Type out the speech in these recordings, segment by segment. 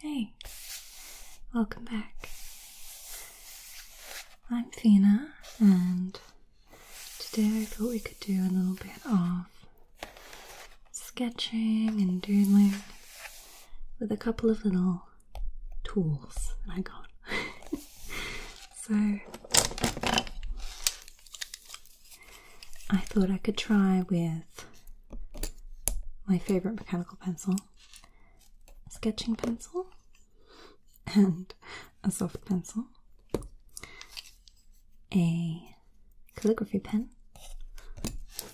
Hey, welcome back. I'm Fina, and today I thought we could do a little bit of sketching and doodling with a couple of little tools that I got. So I thought I could try with my favorite mechanical pencil, sketching pencil, and a soft pencil, a calligraphy pen,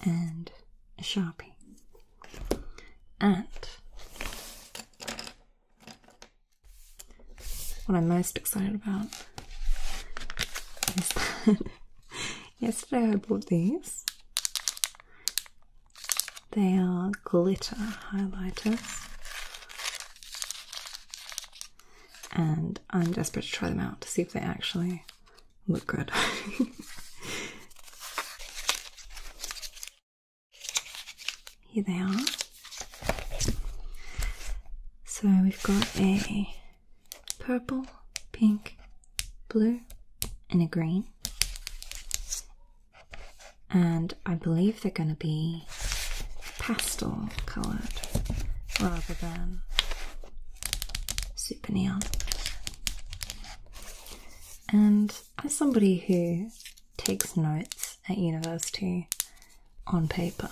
and a sharpie. And what I'm most excited about yesterday I bought these. They are glitter highlighters. And I'm desperate to try them out to see if they actually look good. Here they are. So we've got a purple, pink, blue, and a green. And I believe they're going to be pastel coloured rather than super neon. And as somebody who takes notes at university on paper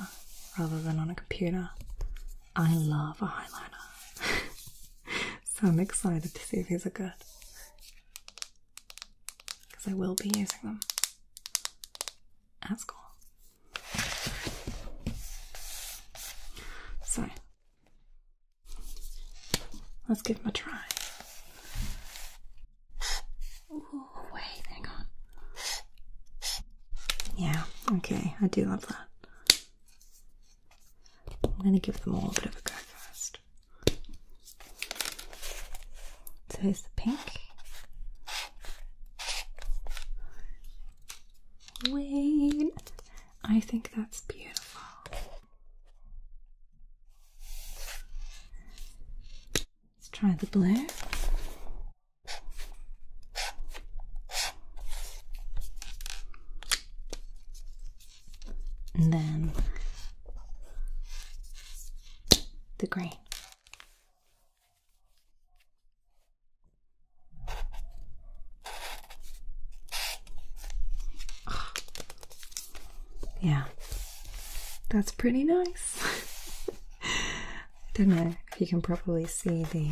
rather than on a computer. I love a highlighter. so I'm excited to see if these are good. Because I will be using them at school. So let's give them a try wait, hang on. Yeah, okay, I do love that. I'm gonna give them all a bit of a go first. So here's the pink. Wait, I think that's beautiful. Let's try the blue. And then the green. Yeah, that's pretty nice. I don't know if you can probably see the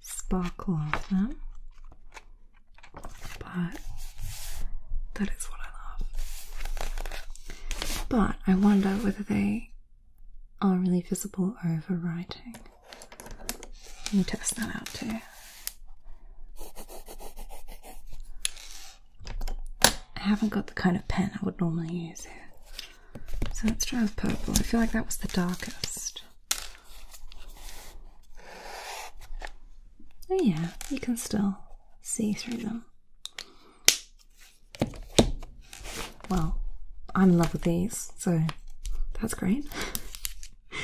sparkle of them, but that is what I love. But I wonder whether they are really visible overwriting. Let me test that out too. I haven't got the kind of pen I would normally use So let's try with purple. I feel like that was the darkest. Oh yeah, you can still see through them. Well, I'm in love with these, so that's great.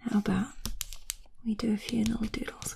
How about we do a few little doodles?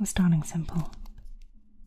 We're starting simple.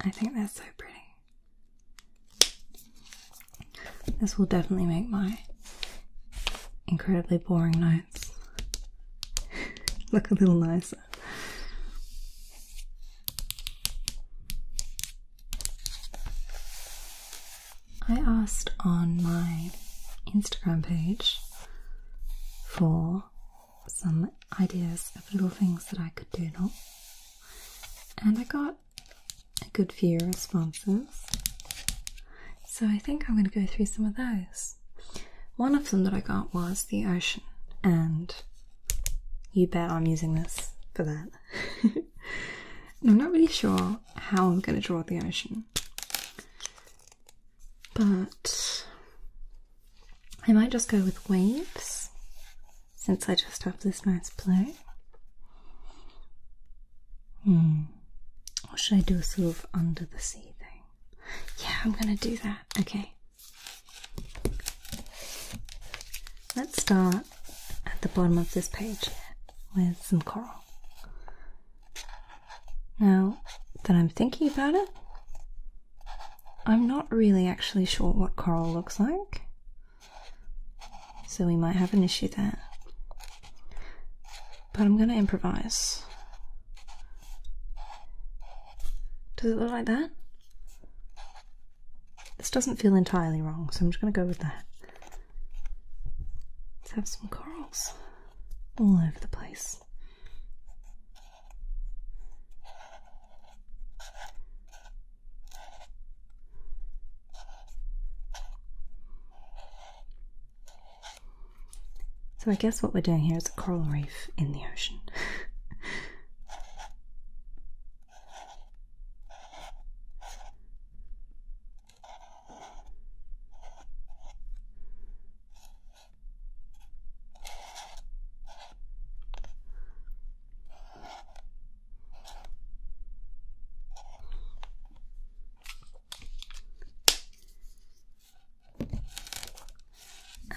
I think that's so pretty. This will definitely make my incredibly boring notes look a little nicer. I asked on my Instagram page for some ideas of little things that I could do, and I got a good few responses. So I think I'm going to go through some of those. One of them that I got was the ocean, and you bet I'm using this for that. I'm not really sure how I'm going to draw the ocean, but I might just go with waves since I just have this nice blue. Hmm. Or should I do a sort of under the sea thing? Yeah, I'm gonna do that. Okay. Let's start at the bottom of this page with some coral. Now that I'm thinking about it, I'm not really actually sure what coral looks like, so we might have an issue there. But I'm gonna improvise. Does it look like that? This doesn't feel entirely wrong, so I'm just gonna go with that. Let's have some corals all over the place. So I guess what we're doing here is a coral reef in the ocean.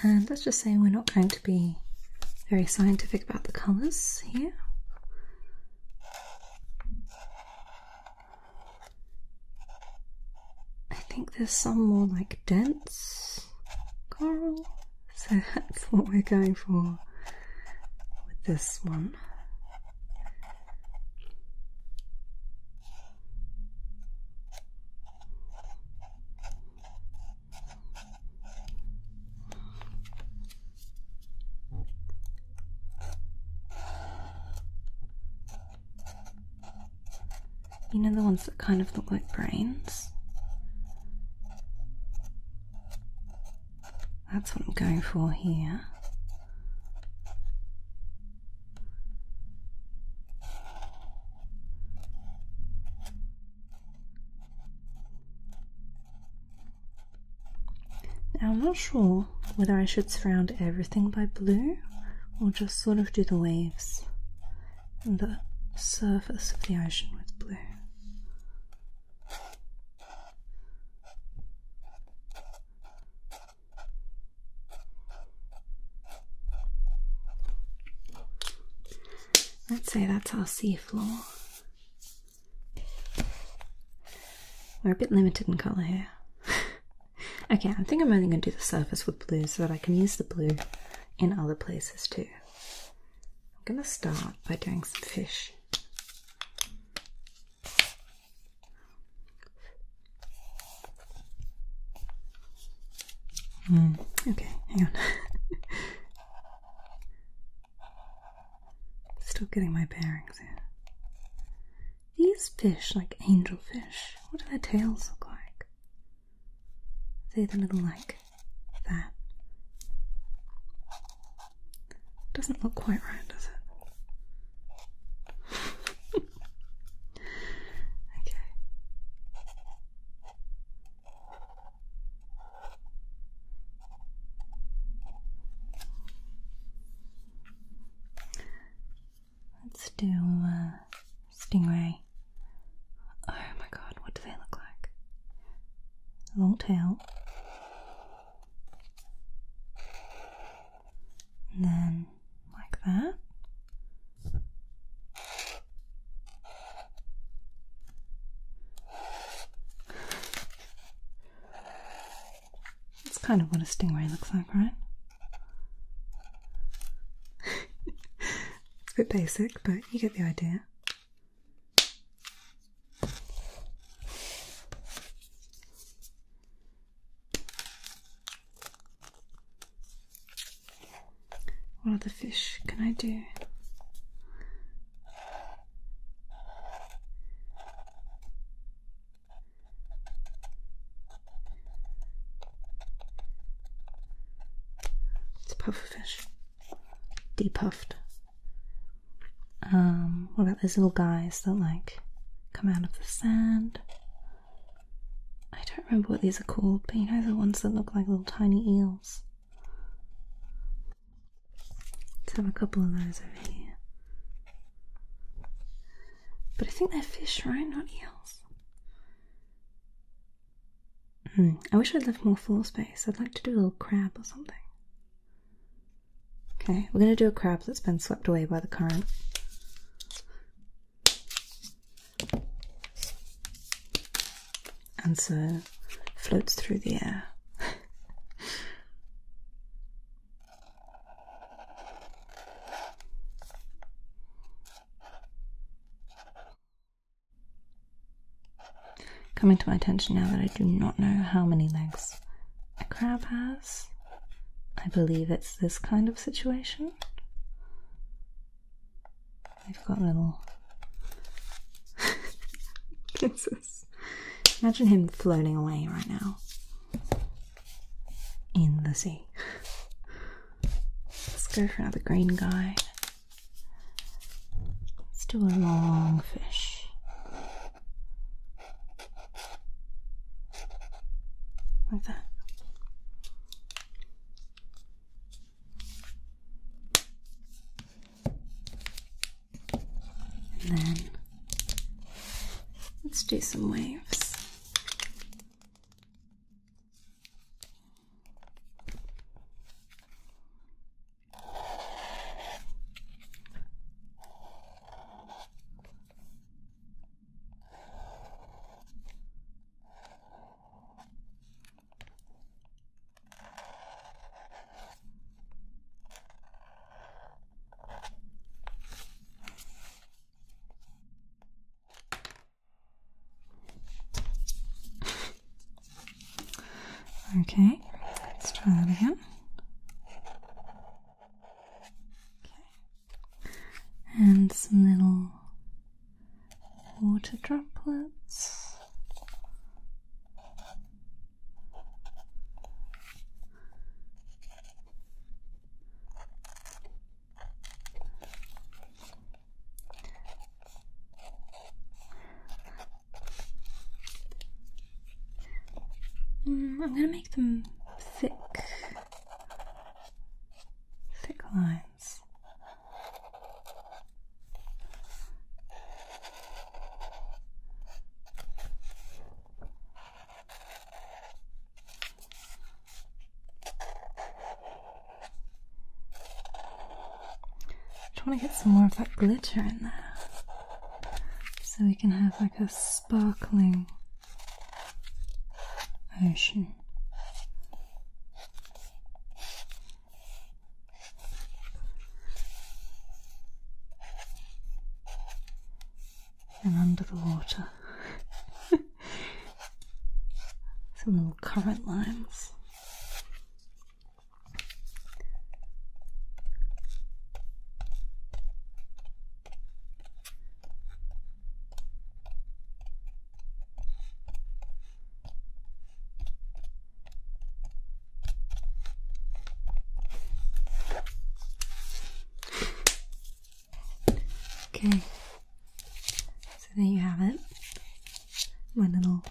And let's just say we're not going to be very scientific about the colours here. I think there's some more like dense coral, so that's what we're going for with this one. You know the ones that kind of look like brains? That's what I'm going for here. Now, I'm not sure whether I should surround everything by blue or just sort of do the waves and the surface of the ocean with blue. Let's say that's our seafloor. We're a bit limited in colour here. okay, I think I'm only going to do the surface with blue so that I can use the blue in other places too. I'm going to start by doing some fish. Hmm, okay, hang on. Still getting my bearings in. These fish, like angelfish, what do their tails look like? they Are they the little like that? Doesn't look quite right, does it? okay. Let's do uh, stingray. Oh my god, what do they look like? Long tail. then like that. That's kind of what a stingray looks like, right? it's a bit basic, but you get the idea. What other fish can I do? It's a pufferfish. Depuffed. Um, what about those little guys that like come out of the sand? I don't remember what these are called, but you know the ones that look like little tiny eels. Let's have a couple of those over here. But I think they're fish, right? Not eels. Hmm. I wish I'd left more floor space. I'd like to do a little crab or something. Okay, we're going to do a crab that's been swept away by the current. And so floats through the air. Coming to my attention now that I do not know how many legs a crab has. I believe it's this kind of situation. They've got little pincers. Imagine him floating away right now in the sea. Let's go for another green guy. Let's do a long fish. Like that. And then Let's do some waves okay, let's try that again. Okay. And some little water droplets. Mm, I'm going to make them thick, thick lines. I want to get some more of that glitter in there so we can have like a sparkling ocean and under the water. Some little current lines. Okay, so there you have it. My little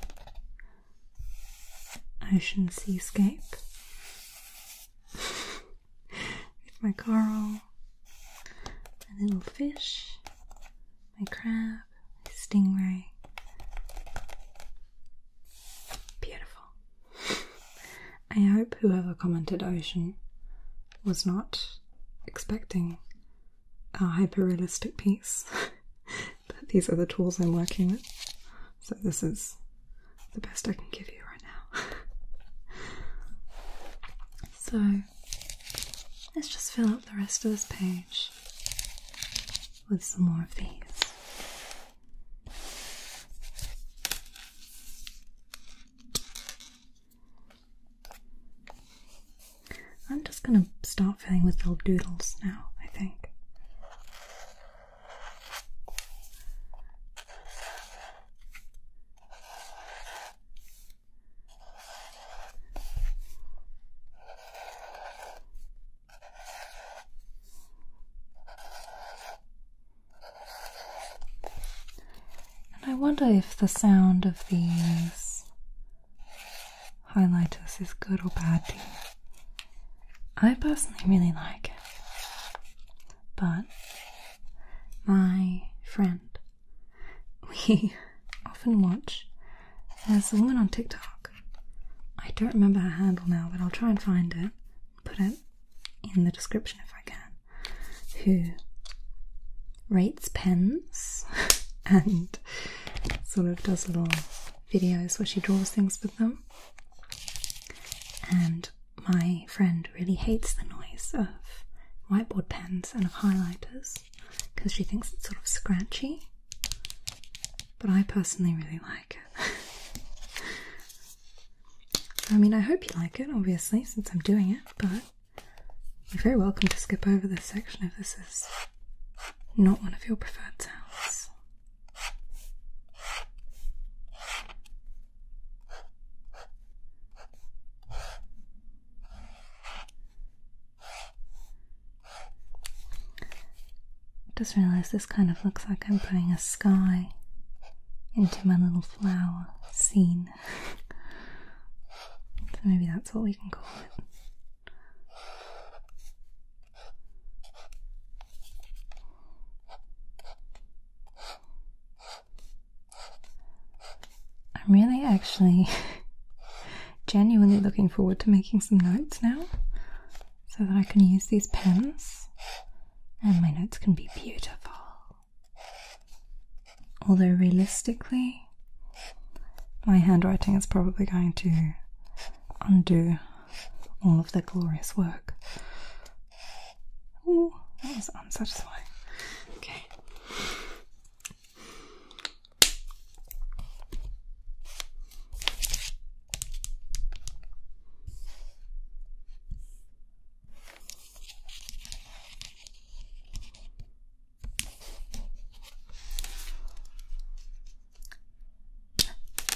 ocean seascape with my coral, my little fish, my crab, my stingray. Beautiful. I hope whoever commented ocean was not expecting a hyper realistic piece, but these are the tools I'm working with, so this is the best I can give you right now. so let's just fill up the rest of this page with some more of these. I'm just going to start filling with little doodles now, I think. And I wonder if the sound of these highlighters is good or bad I personally really like it, but my friend, we often watch. There's a woman on TikTok. I don't remember her handle now, but I'll try and find it put it in the description if I can, who rates pens and sort of does little videos where she draws things with them. And my friend really hates the noise of whiteboard pens and of highlighters because she thinks it's sort of scratchy. But I personally really like it. I mean, I hope you like it, obviously, since I'm doing it, but you're very welcome to skip over this section if this is not one of your preferred sounds. just realised this kind of looks like I'm putting a sky into my little flower scene. so maybe that's what we can call it. I'm really actually genuinely looking forward to making some notes now so that I can use these pens and my notes can be beautiful. Although, realistically, my handwriting is probably going to undo all of the glorious work. Ooh, that was unsatisfying. Okay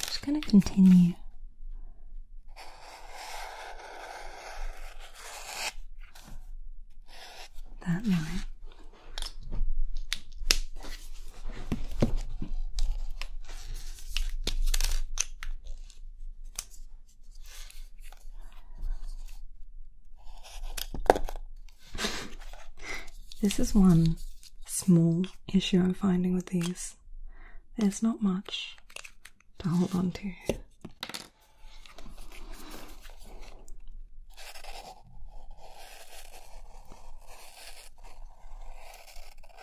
just going to continue that line. This is one small issue I'm finding with these. There's not much to hold on to.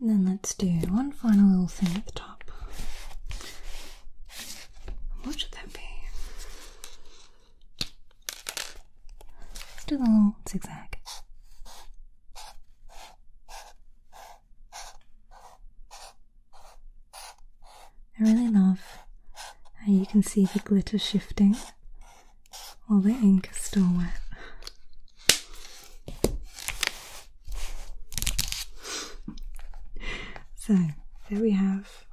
And then let's do one final little thing at the top. What should that be? Let's do the little zigzag. I really love how you can see the glitter shifting well, the ink is still wet. So, there we have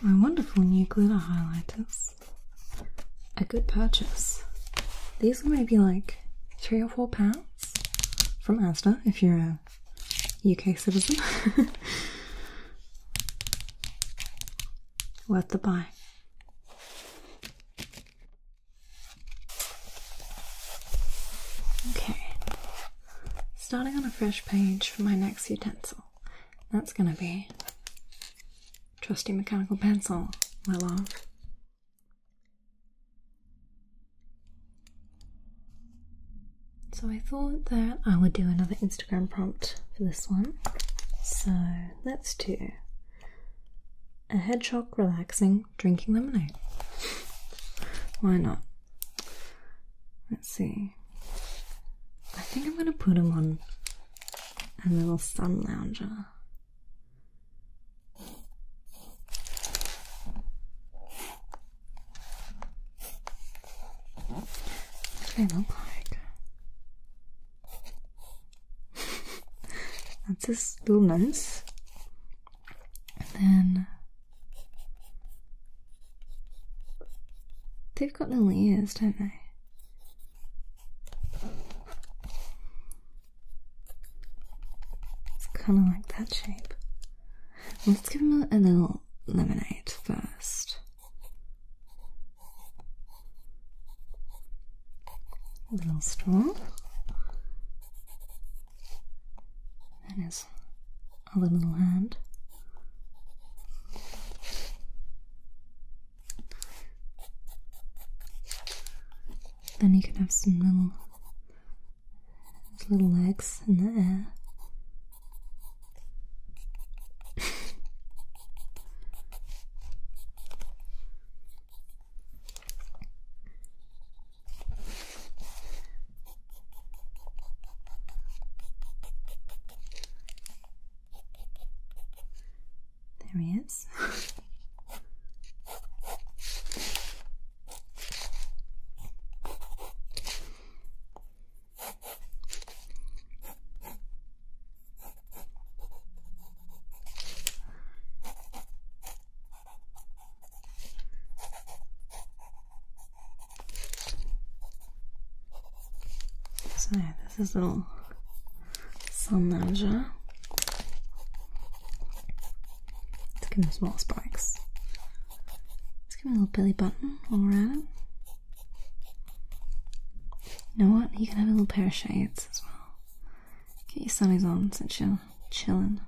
my wonderful new glitter highlighters. A good purchase. These are maybe like three or four pounds from Asda if you're a UK citizen. worth the buy. Okay, starting on a fresh page for my next utensil. That's going to be trusty mechanical pencil, my love. So I thought that I would do another Instagram prompt for this one. So that's two. a hedgehog relaxing drinking lemonade. Why not? Let's see. I think I'm going to put him on a little sun lounger. They look like that's his little nose. then they've got the ears, don't they? It's kind of like that shape. Let's give him a little lemonade first. A little straw. That is a little hand. Then you can have some little little legs in the air. There he is. So yeah, this is little sun lounger. Let's give him some more spikes. Let's give him a little belly button all around it. You know what? You can have a little pair of shades as well. Get your sunnies on since you're chilling.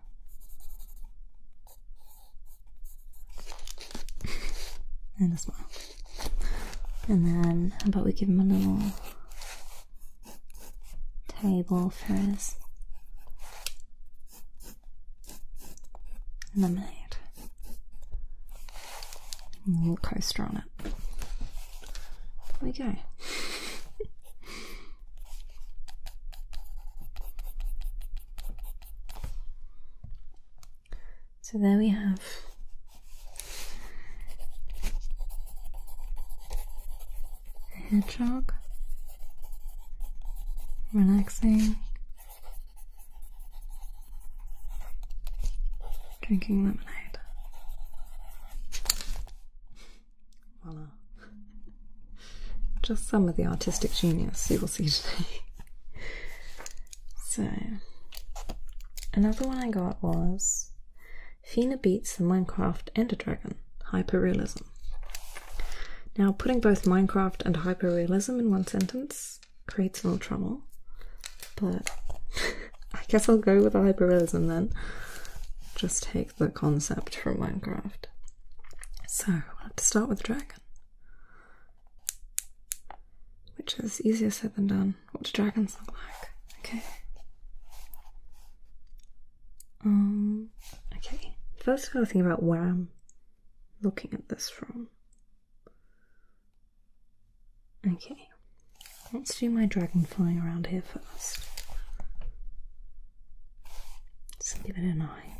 and a smile. And then, how about we give him a little table for his lemonade. A little coaster on it. There we go. so there we have. A hedgehog relaxing Drinking lemonade. Voila. Just some of the artistic genius you will see today. so, another one I got was Fina Beats the Minecraft and a Dragon Hyperrealism. Now, putting both Minecraft and hyperrealism in one sentence creates a little trouble, but I guess I'll go with the hyperrealism then. Just take the concept from Minecraft. So we'll to start with the dragon. Which is easier said than done. What do dragons look like? Okay. Um okay. First I gotta think about where I'm looking at this from. Okay, let's do my dragon flying around here first. give it an eye.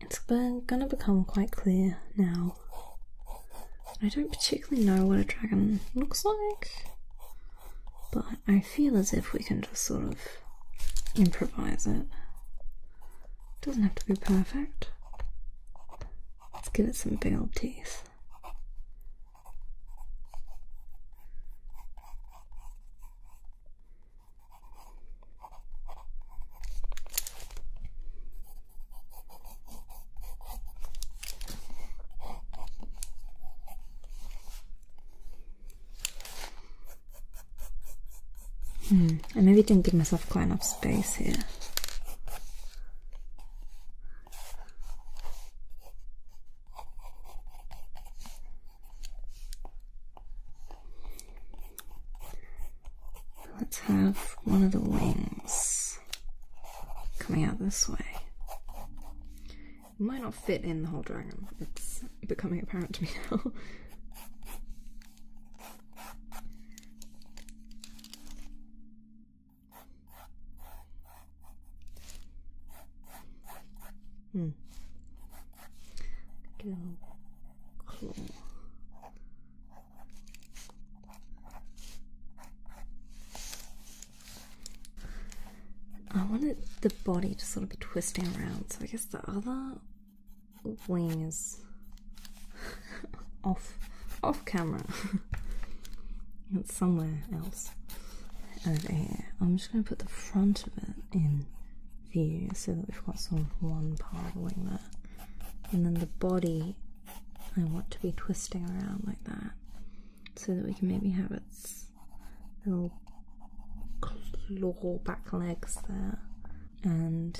It's gonna become quite clear now. I don't particularly know what a dragon looks like, but I feel as if we can just sort of improvise it. Doesn't have to be perfect. Let's give it some big old teeth. Hmm, I maybe didn't give myself kind of space here. Let's have one of the wings coming out this way. might not fit in the whole dragon, it's becoming apparent to me now. Hmm. I wanted the body to sort of be twisting around, so I guess the other wing is off off camera. it's somewhere else over here. I'm just gonna put the front of it in view so that we've got sort of one part wing there. And then the body I want to be twisting around like that so that we can maybe have its little claw back legs there and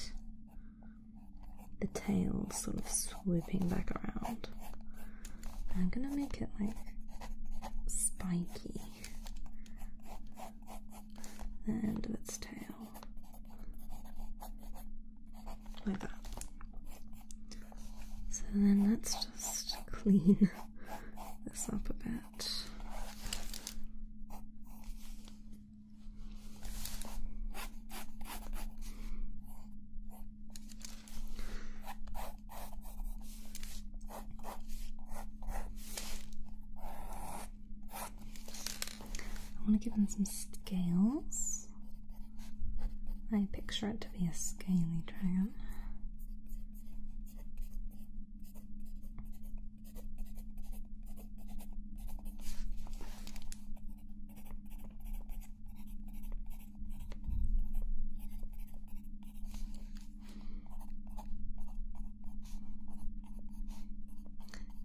the tail sort of swooping back around. I'm gonna make it like spiky and its tail. Like that. So then let's just clean this up a bit. I want to give them some scales. I picture it to be a scaly dragon.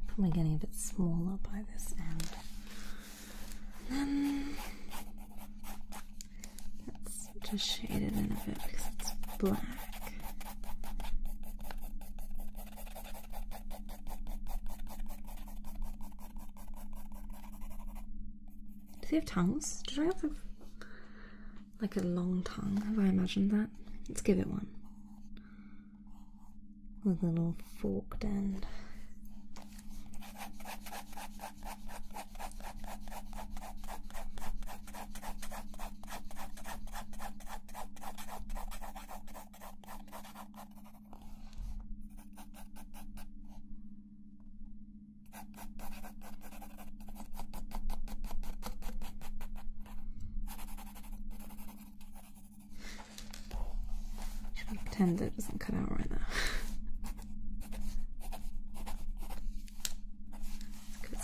Probably getting a bit smaller by this end. let's just shade it in a bit because it's black. Do they have tongues? Did I have them? Like a long tongue. Have I imagined that? Let's give it one. With a little forked end. Just gonna pretend it doesn't cut out right now.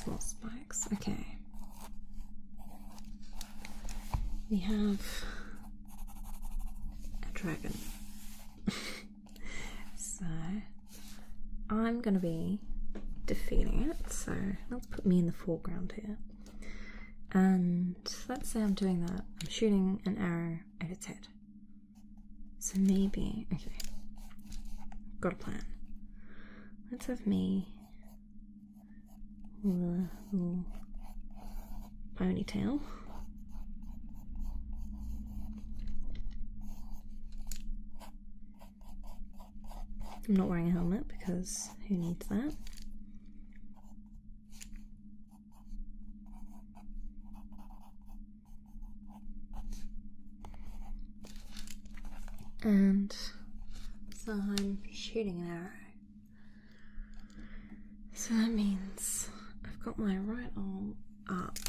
Let's spikes. Okay. We have a dragon. so I'm gonna be defeating it, so let's put me in the foreground here. And let's say I'm doing that, I'm shooting an arrow at its head. So maybe, okay, got a plan. Let's have me ponytail. I'm not wearing a helmet because who needs that? And so I'm shooting an arrow. So that means I've got my right arm up,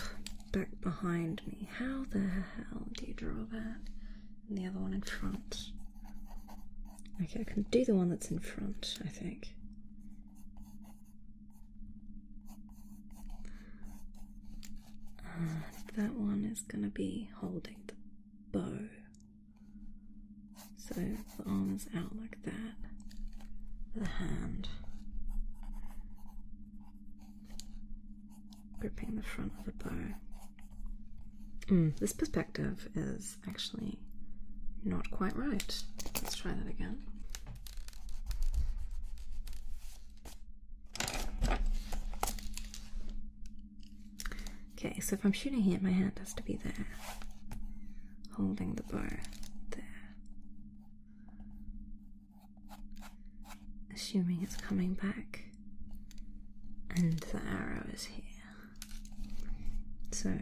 back behind me. How the hell did you draw that? the other one in front. Okay, I can do the one that's in front, I think. that one is going to be holding the bow. So the arm is out like that, the hand gripping the front of the bow. Mm. this perspective is actually not quite right. Let's try that again. Okay, so if I'm shooting here, my hand has to be there, holding the bow there assuming it's coming back, and the arrow is here. So,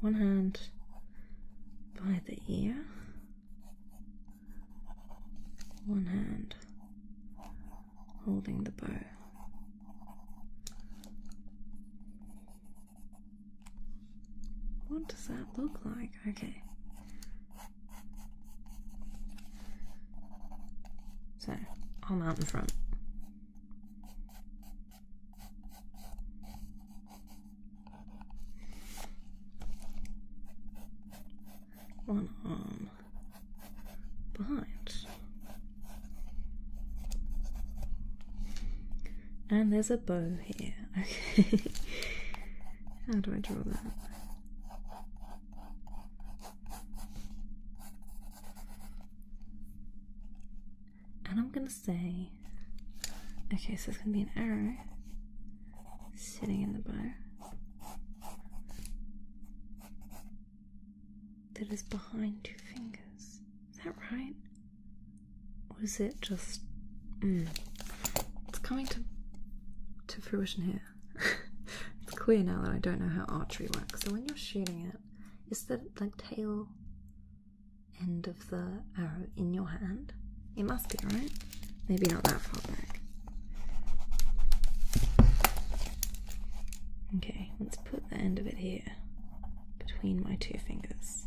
one hand by the ear, one hand holding the bow. What does that look like? Okay. So I'll mount in front. One arm behind. And there's a bow here. How do I draw that? And I'm gonna say, okay, so it's gonna be an arrow sitting in the bow that is behind two fingers. Is that right? Or is it just. Hmm, it's coming to, to fruition here. it's clear now that I don't know how archery works. So when you're shooting it, is the like tail end of the arrow in your hand? It must be, right? Maybe not that far back. Okay, let's put the end of it here between my two fingers.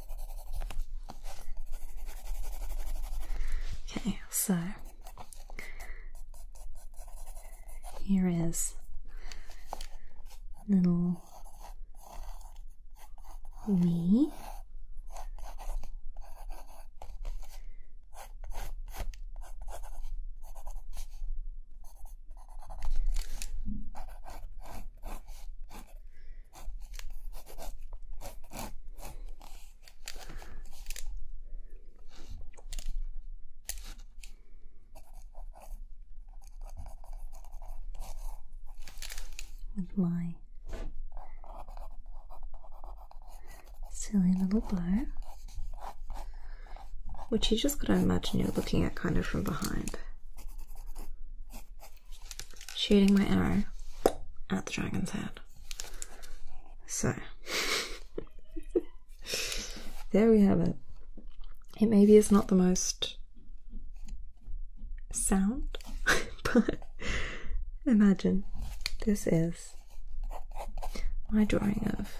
Okay, so here is little me with my silly little blow, which you just gotta imagine you're looking at kind of from behind shooting my arrow at the dragon's head. So, there we have it. It maybe is not the most sound, but imagine this is my drawing of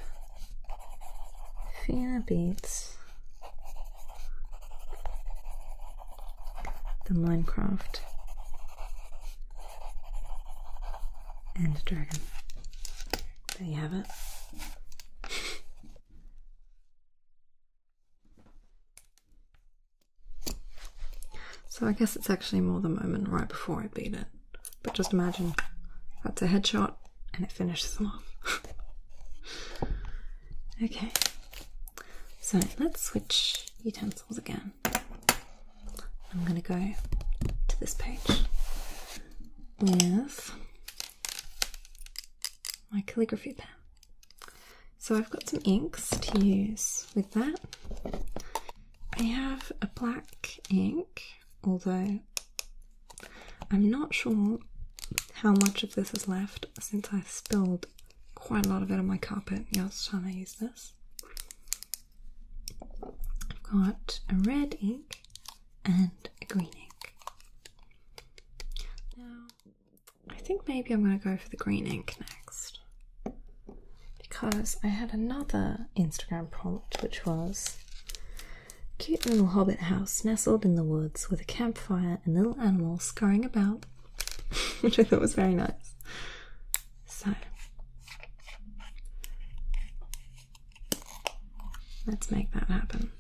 Fiona Beats the Minecraft and Dragon. There you have it. So I guess it's actually more the moment right before I beat it. But just imagine that's a headshot and it finishes them off. okay, so let's switch utensils again. I'm going to go to this page with my calligraphy pen. So I've got some inks to use with that. I have a black ink, although I'm not sure how much of this is left since I spilled quite a lot of it on my carpet the last time I use this. I've got a red ink and a green ink. Now, I think maybe I'm going to go for the green ink next because I had another Instagram prompt which was cute little hobbit house nestled in the woods with a campfire and little animals scurrying about which I thought was very nice. So let's make that happen.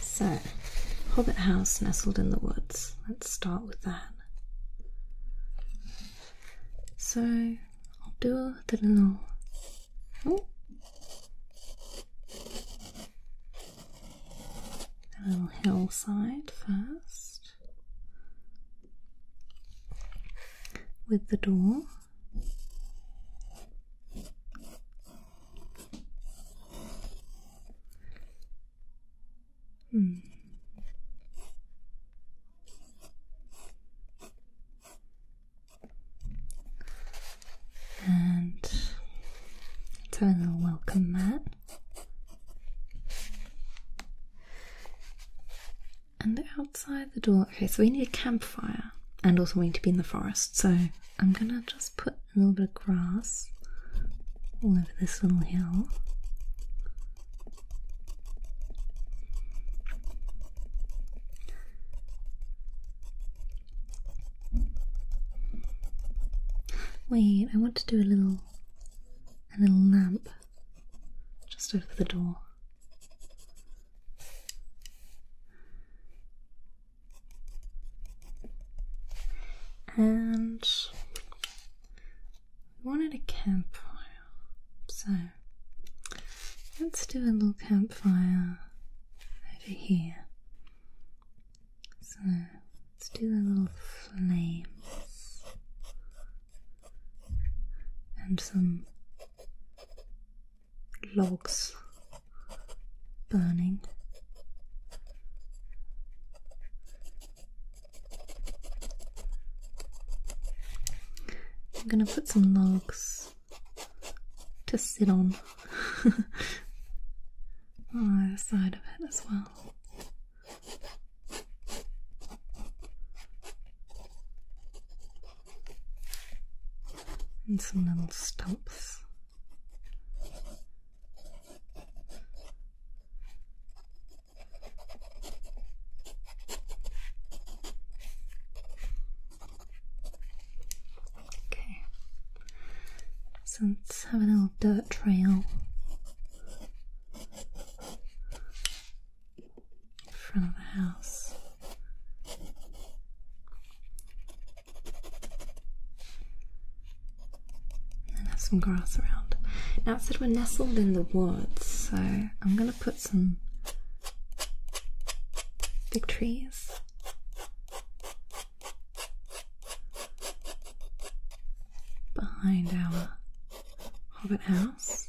So, Hobbit House nestled in the woods. Let's start with that. So I'll do the little. hillside first with the door. Hmm. And let's have a little welcome mat. And outside the door, okay, so we need a campfire and also we need to be in the forest, so I'm gonna just put a little bit of grass all over this little hill. Wait, I want to do a little a little lamp just over the door. And we wanted a campfire, so let's do a little campfire over here. So let's do a little flames and some logs burning. I'm gonna put some logs to sit on on either side of it as well. And some little stumps. Okay. So let's have a little dirt trail in front of the house and have some grass around. Now it said we're nestled in the woods, so I'm gonna put some big trees. Behind our hobbit house.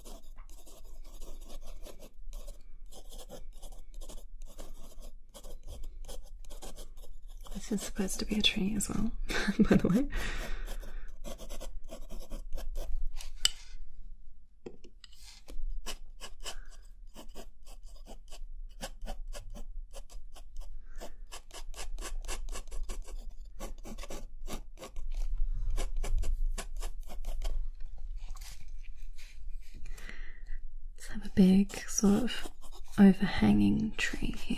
This is supposed to be a tree as well, by the way. Let's have a big sort of overhanging tree here.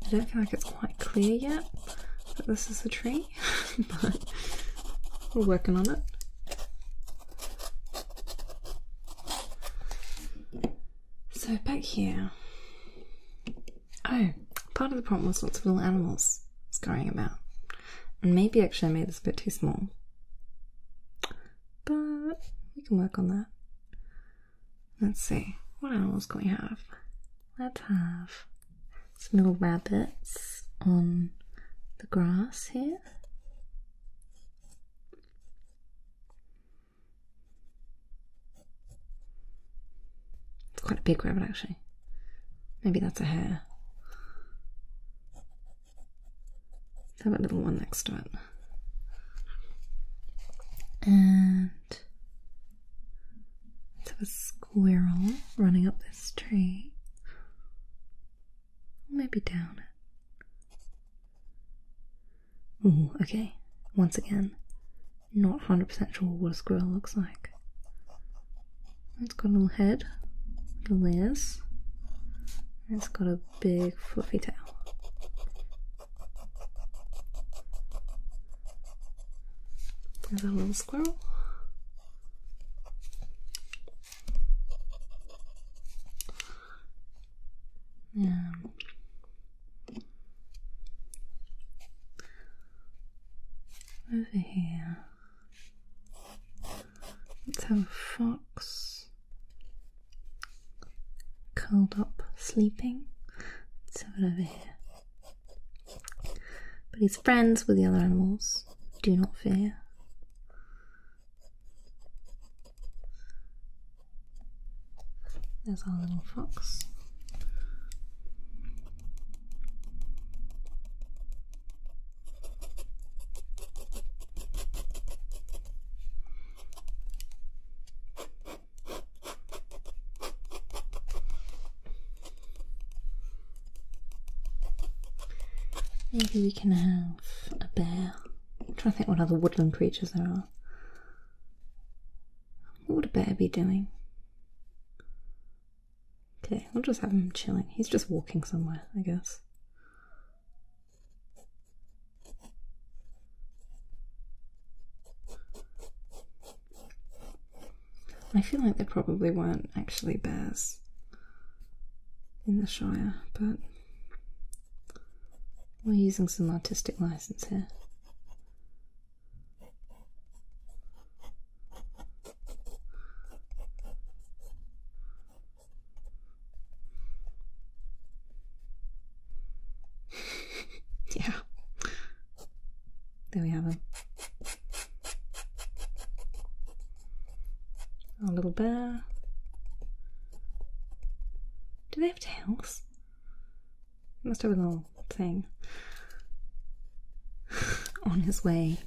I don't feel like it's quite clear yet but this is the tree. but we're working on it. So back here, oh, part of the problem was lots of little animals scurrying about. And maybe actually I made this a bit too small. But we can work on that. Let's see, what animals can we have? let's have some little rabbits on the grass here. It's quite a big rabbit actually. Maybe that's a hare. have a little one next to it. And Let's have a squirrel running up this tree. Maybe down okay. Once again, not 100% sure what a squirrel looks like. It's got a little head, little ears, it's got a big fluffy tail. There's a little squirrel. Yeah. Over here, let's have a fox curled up sleeping. Let's have it over here. But his friends with the other animals. Do not fear. There's our little fox. Maybe we can have a bear. I'm trying to think what other woodland creatures there are. What would a bear be doing? Okay, we'll just have him chilling. He's just walking somewhere, I guess. I feel like there probably weren't actually bears in the Shire, but we're using some artistic license here. yeah. There we have them. A little bear. Do they have tails? must have a little thing. On his way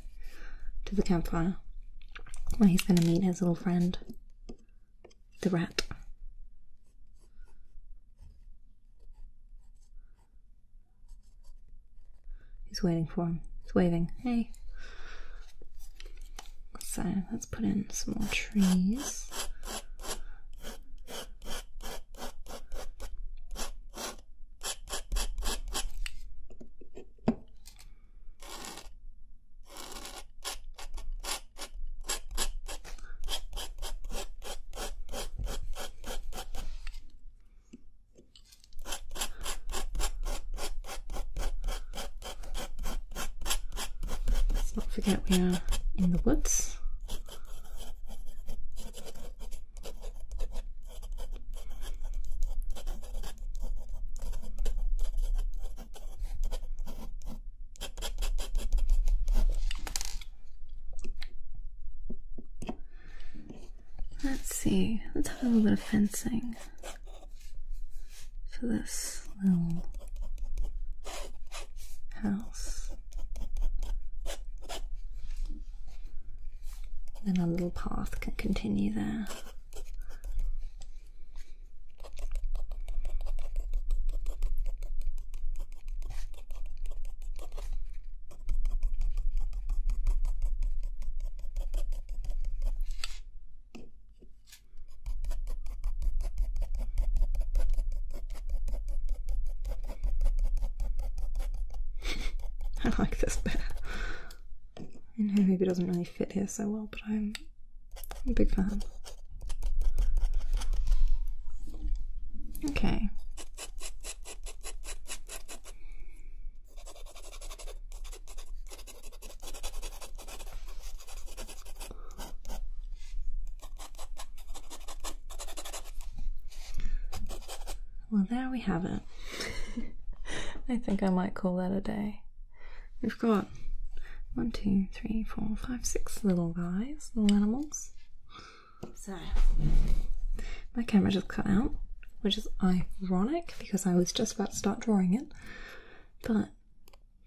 to the campfire, where he's going to meet his little friend, the rat. He's waiting for him. He's waving. Hey. So let's put in some more trees. Let's not forget we are in the woods. Let's see, let's have a little bit of fencing for this little house. Then a little path can continue there. I like this bear. I know maybe it doesn't really fit here so well, but I'm, I'm a big fan. Okay. Well, there we have it. I think I might call that a day. We've got one, two, three, four, five, six little guys, little animals. So, my camera just cut out, which is ironic because I was just about to start drawing it. But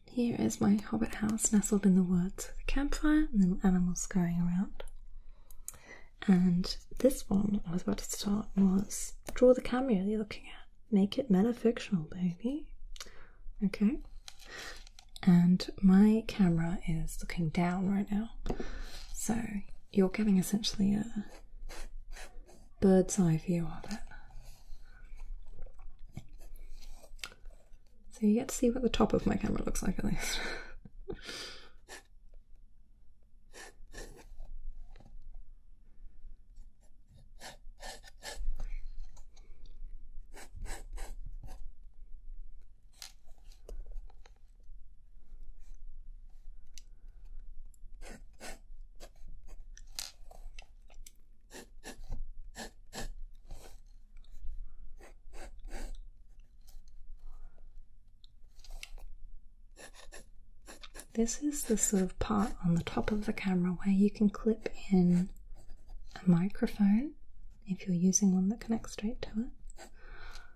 here is my hobbit house nestled in the woods with a campfire and little animals scurrying around. And this one I was about to start was draw the camera you're looking at. Make it metafictional, baby. Okay. And my camera is looking down right now. So you're getting essentially a bird's eye view of it. So you get to see what the top of my camera looks like at least. This is the sort of part on the top of the camera where you can clip in a microphone if you're using one that connects straight to it,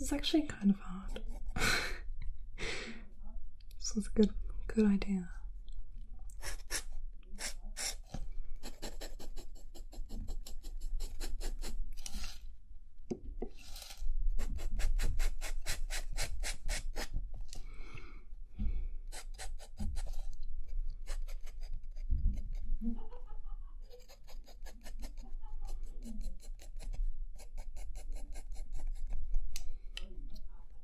This is actually kind of hard. This is a good, good idea.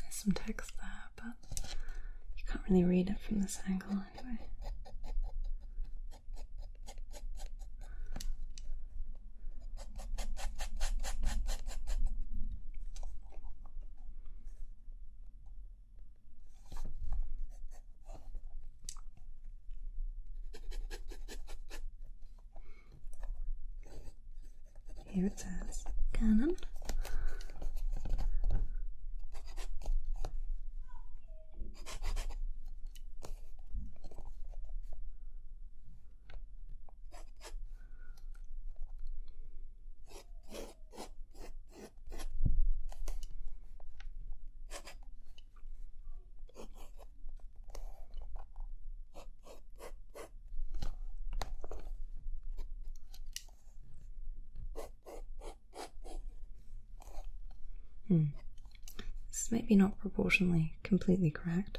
There's some text there, but you can't really read it from this angle anyway. Here it says Canon. Hmm. This might be not proportionally completely correct.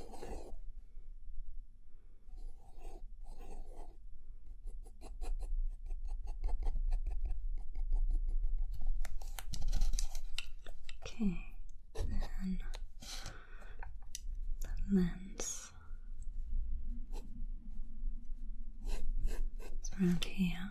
Okay, then the lens is around here.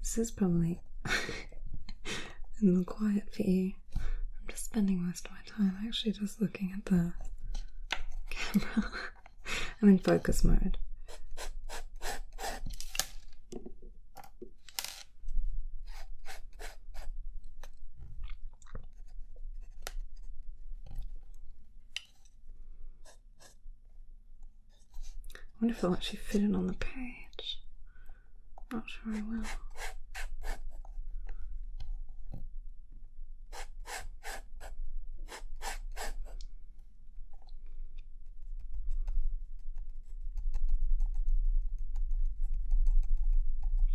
This is probably a the quiet for you. I'm just spending most of my time actually just looking at the camera. I'm in focus mode. I wonder if they'll actually fit in on the page. not sure I will.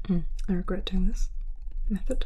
Mm, I regret doing this method.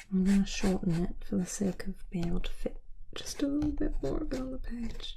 I'm going to shorten it for the sake of being able to fit just a little bit more of it on the page.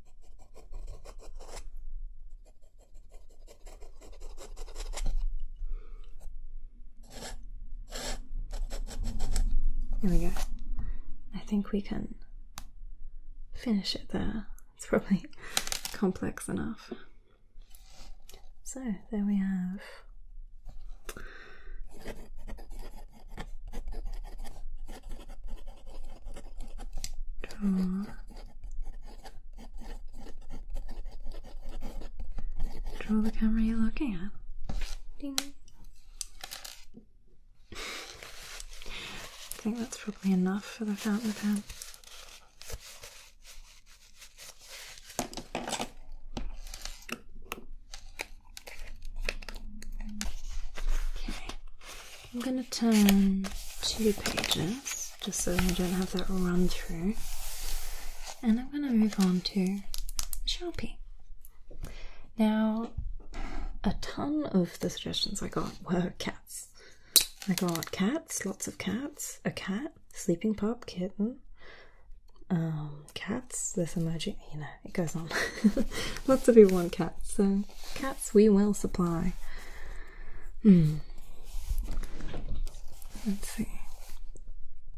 There we go. I think we can finish it there. It's probably complex enough. So there we have draw, draw the camera you're looking at. Ding. I think that's probably enough for the fountain pen. Okay, I'm going to turn two pages just so I don't have that run through, and I'm going to move on to Sharpie. Now, a ton of the suggestions I got were cats. I got cats, lots of cats, a cat, sleeping pup, kitten, um, cats, this emoji, you know, it goes on. Lots of people want cats, so cats we will supply. Hmm. Let's see.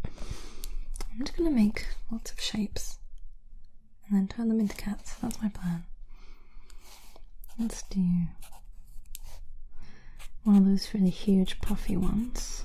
I'm just going to make lots of shapes and then turn them into cats. That's my plan. Let's do one of those really huge, puffy ones.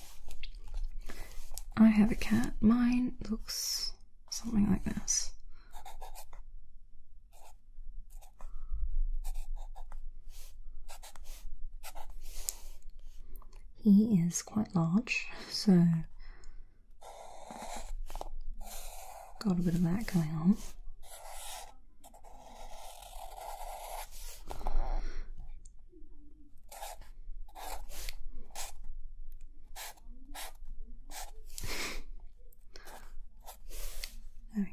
I have a cat. Mine looks something like this. He is quite large, so got a bit of that going on there we go.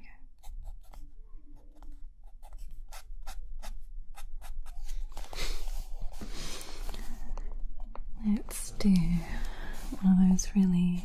Let's do one of those really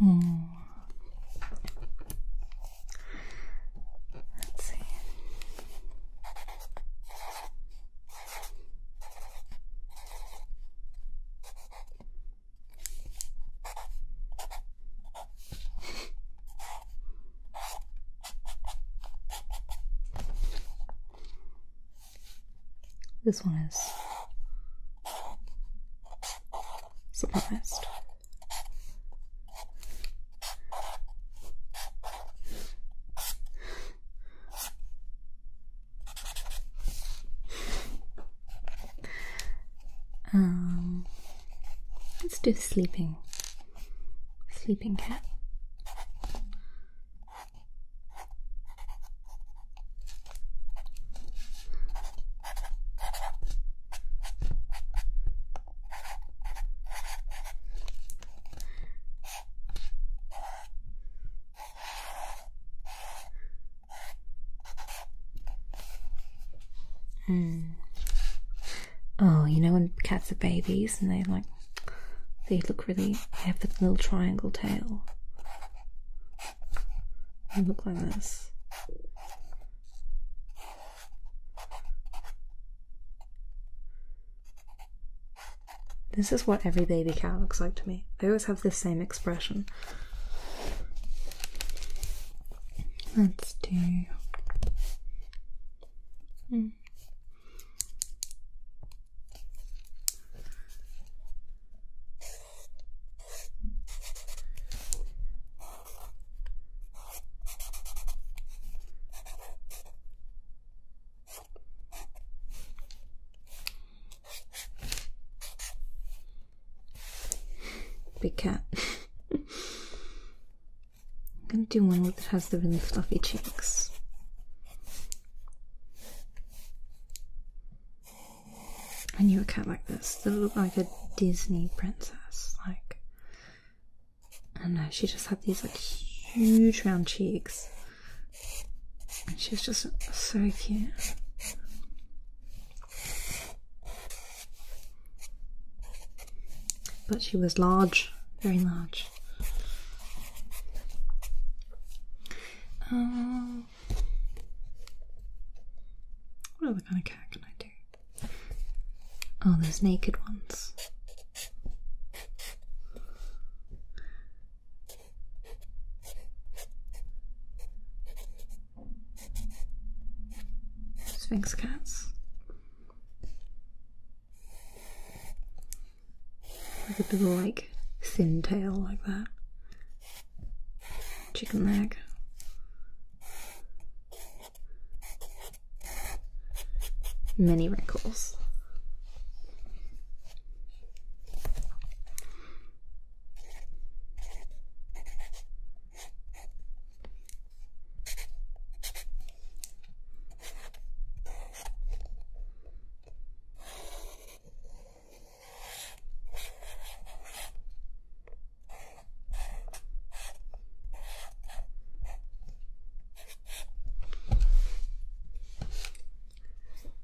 Mm. Let's see. This one is surprised. Um, Let's do sleeping sleeping cat. Hmm. Oh, you know when cats are babies and they like they look really have the little triangle tail. They look like this. This is what every baby cat looks like to me. They always have the same expression. Let's do. Hmm. Big cat. I'm gonna do one that has the really fluffy cheeks. I knew a cat like this. They looked like a Disney princess. Like, and she just had these like huge round cheeks. She was just so cute. But she was large, very large. Um, what other kind of cat can I do? Oh, those naked ones. Sphinx cats. Like a little, like thin tail like that. Chicken leg. Many wrinkles.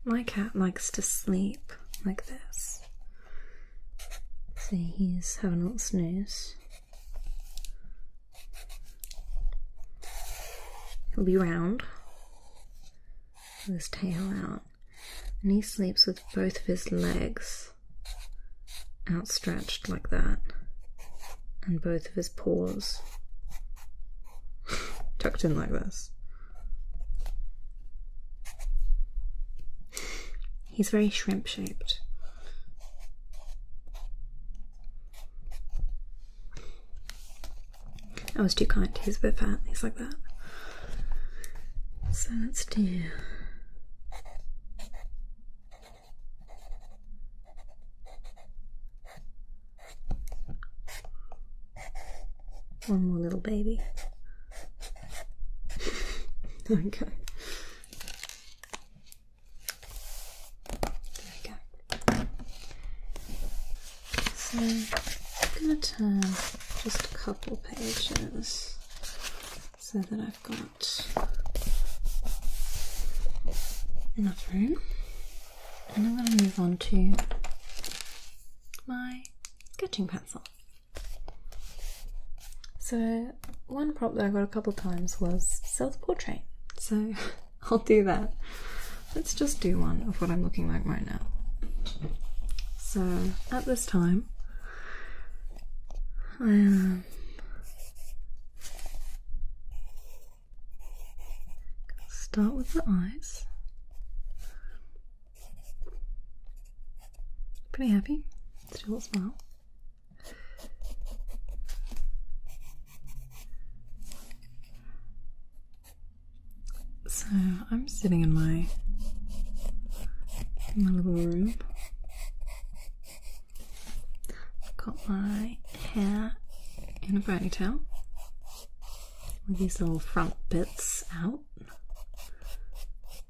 My cat likes to sleep like this. See, he's having a snooze. He'll be round with his tail out, and he sleeps with both of his legs outstretched like that, and both of his paws tucked in like this. He's very shrimp shaped. I was too kind. He's a bit fat. He's like that. So let's do. One more little baby. okay. There we go. So I'm going to turn just a couple pages so that I've got enough room. And I'm going to move on to my sketching pencil. So one prop that I got a couple times was self-portrait. So I'll do that. Let's just do one of what I'm looking like right now. So at this time, I am start with the eyes. Pretty happy, still smile. So I'm sitting in my in my little room. I've got my hair in a ponytail with these little front bits out.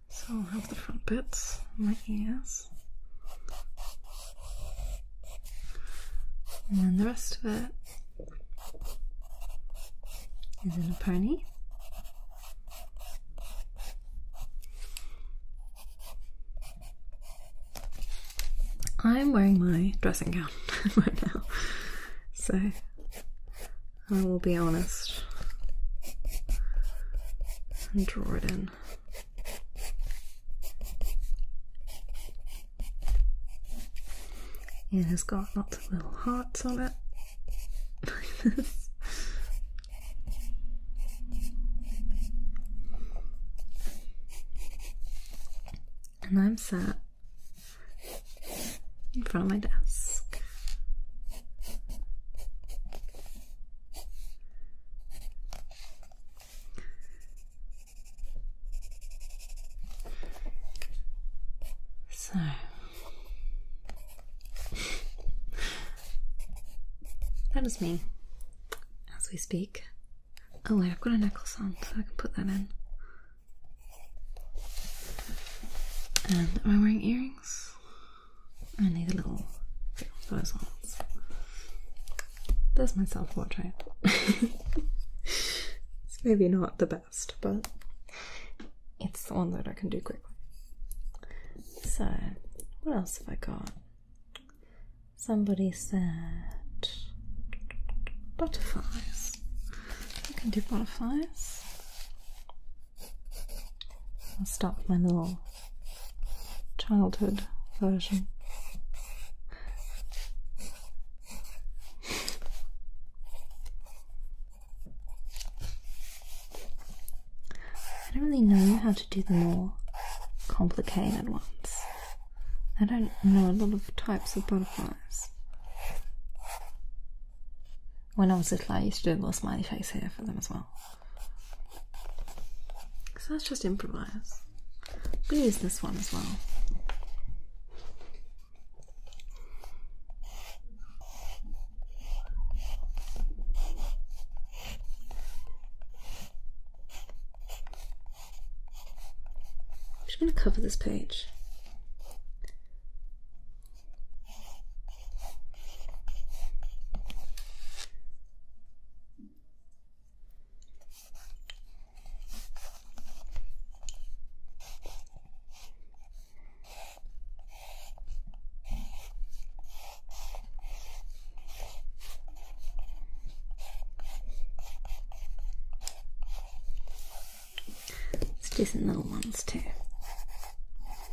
So I'll have the front bits, my ears, and then the rest of it is in a pony. I'm wearing my dressing gown right now, so I will be honest and draw it in. It has got lots of little hearts on it. And I'm sat in front of my desk. So that is me as we speak. Oh, wait, I've got a necklace on, so I can put that in. And am I wearing earrings? I need a little bit of those ones. There's my self portrait. maybe not the best, but it's the one that I can do quickly. So, what else have I got? Somebody said butterflies. I can do butterflies. I'll stop with my little childhood version. I don't really know how to do the more complicated ones. I don't know a lot of types of butterflies. When I was little, I used to do a little smiley face here for them as well. So that's just improvise. I'm going to use this one as well. I'm just going to cover this page. It's decent little ones too.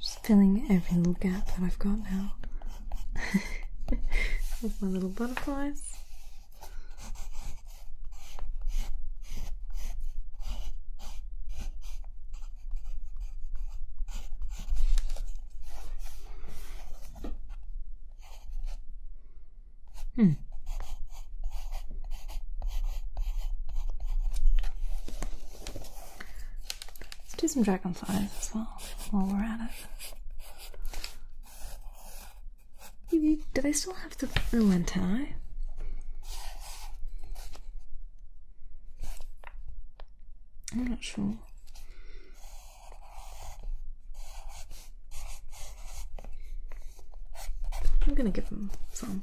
Just filling every little gap that I've got now. With my little butterflies. Hmm. Let's do some dragonflies as well while we're at it. Do they still have the, oh, the I'm not sure. I'm gonna give them some.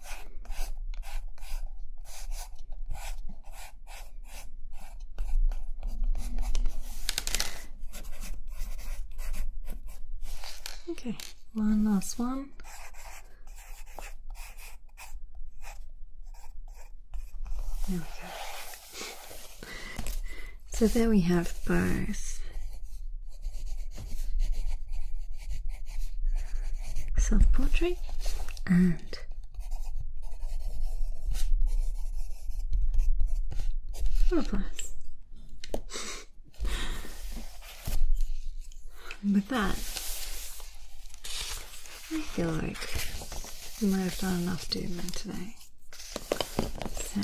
Okay, one last one. There we go. So there we have both. Self portrait and with that, I feel like we might have done enough doing today. So,